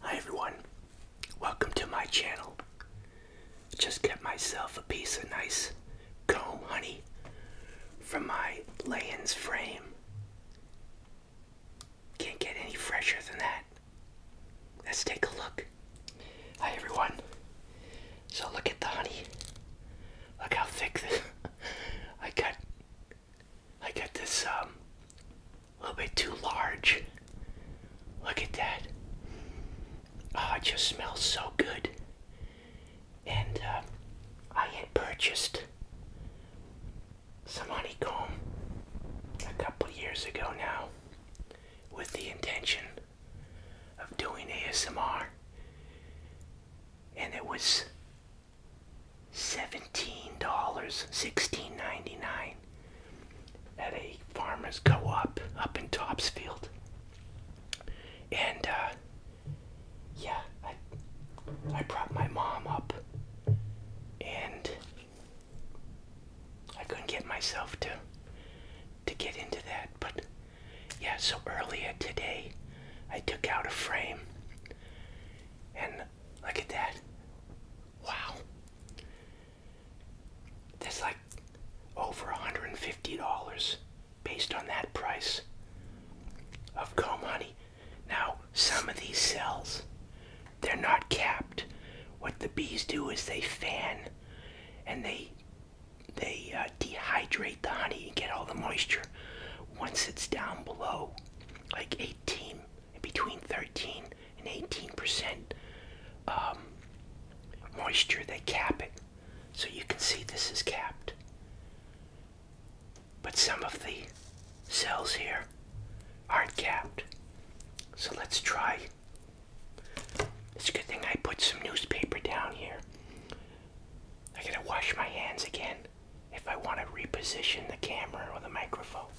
Hi everyone, welcome to my channel. Just get myself a piece of nice comb honey from my Layens frame. Can't get any fresher than that. Let's take a look. Hi everyone. So look at the honey. Look how thick this I got I got this um a little bit too large. Look at that. Oh, it just smells so good. And uh, I had purchased some honeycomb a couple years ago now with the intention of doing ASMR, and it was seventeen dollars, sixteen ninety nine, at a farmer's co-op up in Topsfield, and uh, yeah, I brought my mom up and I couldn't get myself to to get into that but yeah so earlier today I took out a frame and look at that wow that's like over a $150 based on that price of comb honey now, some of these cells, they're not capped. What the bees do is they fan and they they uh, dehydrate the honey and get all the moisture. Once it's down below, like 18, between 13 and 18% um, moisture, they cap it. So you can see this is capped but some of the cells here aren't capped. So let's try. It's a good thing I put some newspaper down here. I gotta wash my hands again if I want to reposition the camera or the microphone.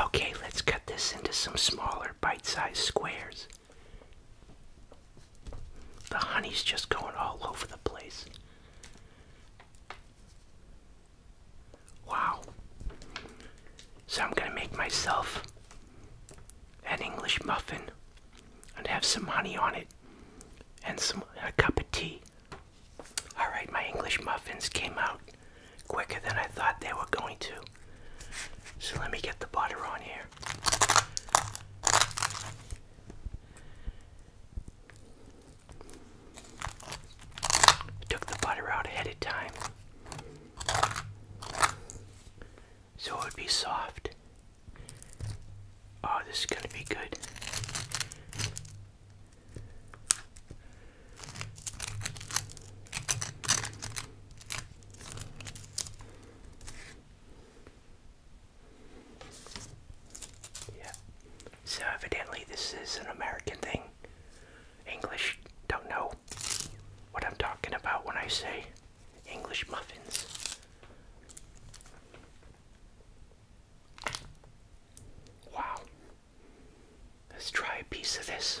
Okay, let's cut this into some smaller bite-sized squares. The honey's just going all over the place. Wow. So I'm going to make myself an English muffin and have some honey on it and some a cup of tea. All right, my English muffins came out quicker than I thought they were going to. So let me get the butter on here. Took the butter out ahead of time. So it would be soft. Oh, this is going to be good. Yeah. So evidently this is an American thing. English don't know what I'm talking about when I say English muffins. Wow. Let's try a piece of this.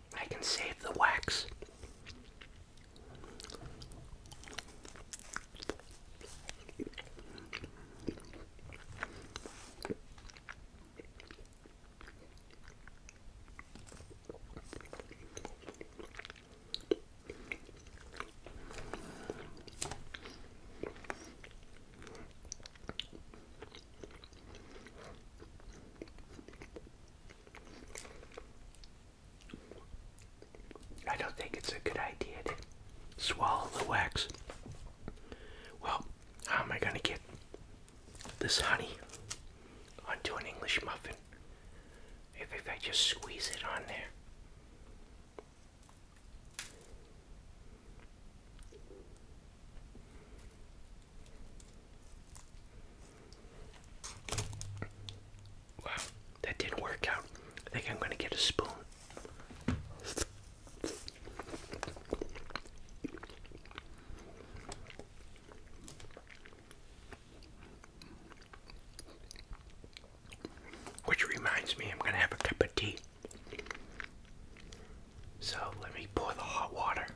I can save the wax. I don't think it's a good idea to swallow the wax. Well, how am I going to get this honey onto an English muffin if, I just squeeze it on there? Wow, that didn't work out. I think I'm going to get a spoon. Which reminds me, I'm going to have a cup of tea. So let me pour the hot water.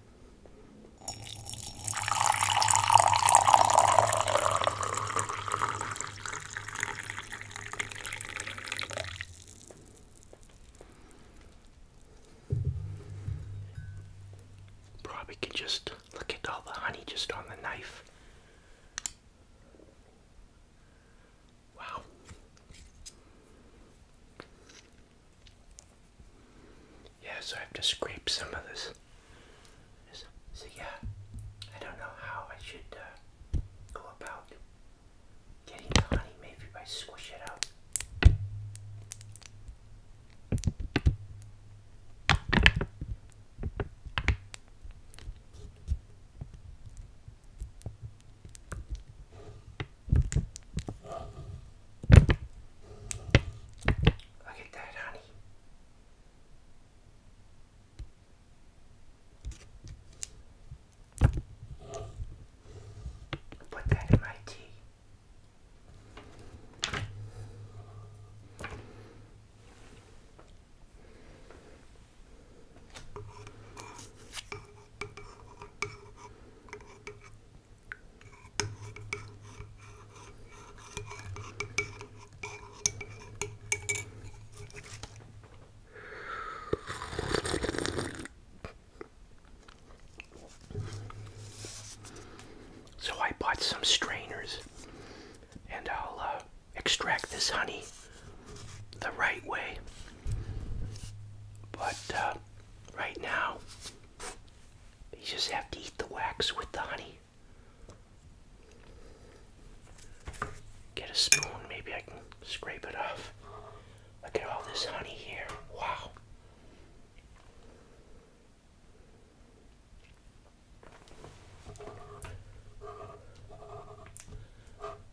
Probably can just look at all the honey just on the knife. Wow. Yeah, so I have to scrape some of this. So yeah, I don't know how I should uh, go about getting the honey. Maybe if I squish it out. Look at that, honey. Put that in my tea. So I bought some strainers and I'll uh, extract this honey the right way. But uh, right now, you just have to eat the wax with the honey. Get a spoon, maybe I can scrape it off. Look at all this honey here. Wow.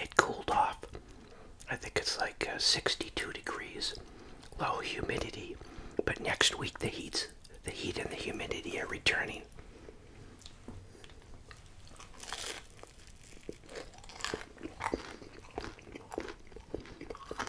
It cooled off. I think it's like uh, 62 degrees, low humidity. But next week the heat's the heat and the humidity are returning.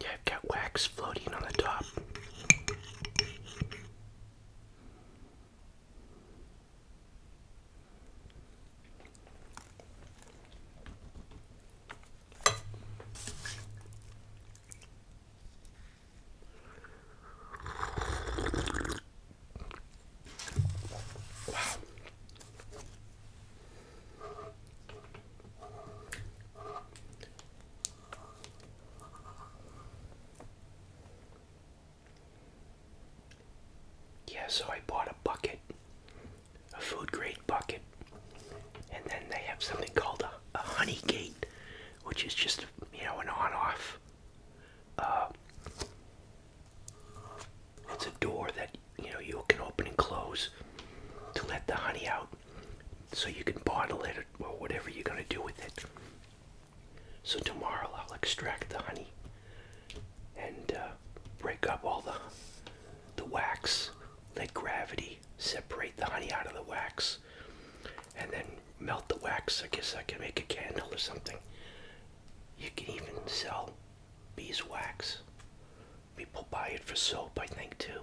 Yeah, I've got wax floating on the top. Wow. Yeah, so I bought a bucket, a food grade bucket, and then they have something called a, a honey gate, which is just, you know, an on off. Uh, it's a door that you know you can open and close to let the honey out so you can bottle it or whatever you're going to do with it so tomorrow i'll extract the honey and uh, break up all the the wax let gravity separate the honey out of the wax and then melt the wax i guess i can make a candle or something you can even sell beeswax People buy it for soap, I think, too.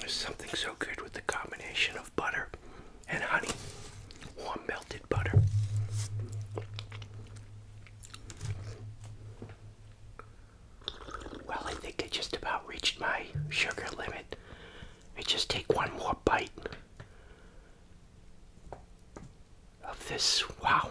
There's something so good with the combination of butter and honey, warm melted butter. Well, I think I just about reached my sugar limit. let I just take one more bite of this. Wow.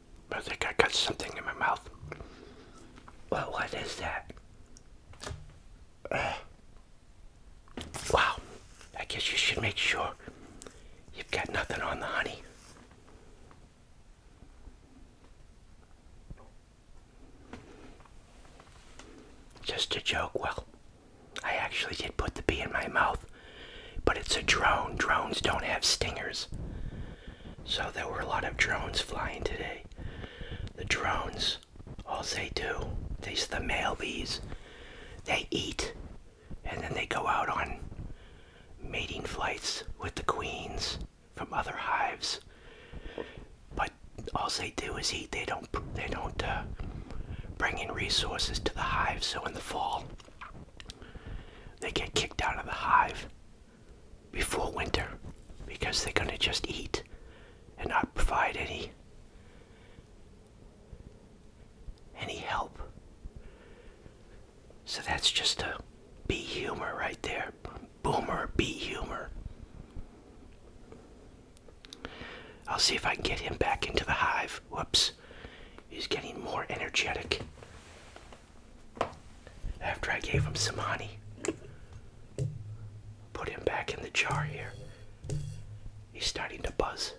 I think I got something in my mouth. Well, what is that? wow, I guess you should make sure you've got nothing on the honey. Just a joke. Well, I actually did put the bee in my mouth, but it's a drone. Drones don't have stingers. So there were a lot of drones flying today. The drones, all they do, these the male bees, they eat and then they go out on mating flights with the queens from other hives. But all they do is eat. They don't they don't uh, bring in resources to the hive. So in the fall, they get kicked out of the hive before winter because they're going to just eat and not provide any any help so that's just a bee humor right there boomer bee humor i'll see if i can get him back into the hive whoops he's getting more energetic after I gave him some honey, put him back in the jar here. He's starting to buzz.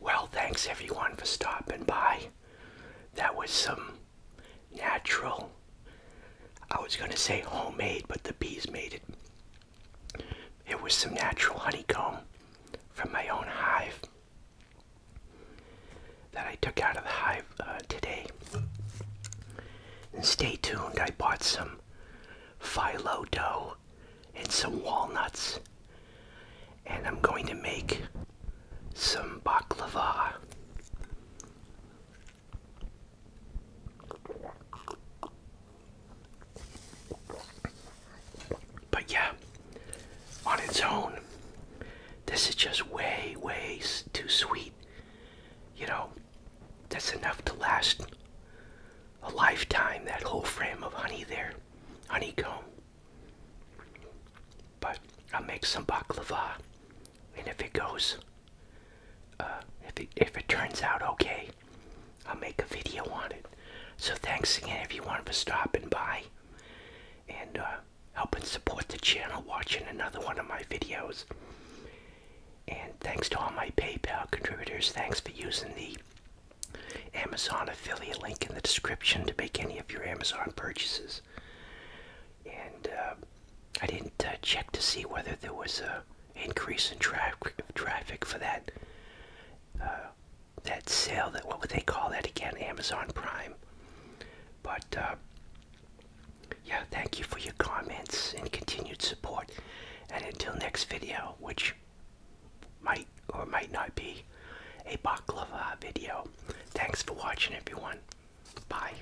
Well, thanks everyone for stopping by. That was some natural, I was going to say homemade, but the bees made it. It was some natural honeycomb from my own hive that I took out of the hive uh, today. And stay tuned, I bought some phyllo dough and some walnuts. And I'm going to make some baklava. But yeah, on its own, this is just way, way too sweet. You know, that's enough to last a lifetime, that whole frame of honey there, honeycomb. But I'll make some baklava, and if it goes, uh, if it, turns out okay, I'll make a video on it. So thanks again if you everyone for stopping by and uh, helping support the channel, watching another one of my videos. And thanks to all my PayPal contributors. Thanks for using the Amazon affiliate link in the description to make any of your Amazon purchases. And uh, I didn't uh, check to see whether there was a increase in traffic for that uh, that sale. what would they call that again? Amazon Prime. But uh, yeah, thank you for your comments and continued support. And until next video, which might or might not be a baklava video. Thanks for watching, everyone. Bye.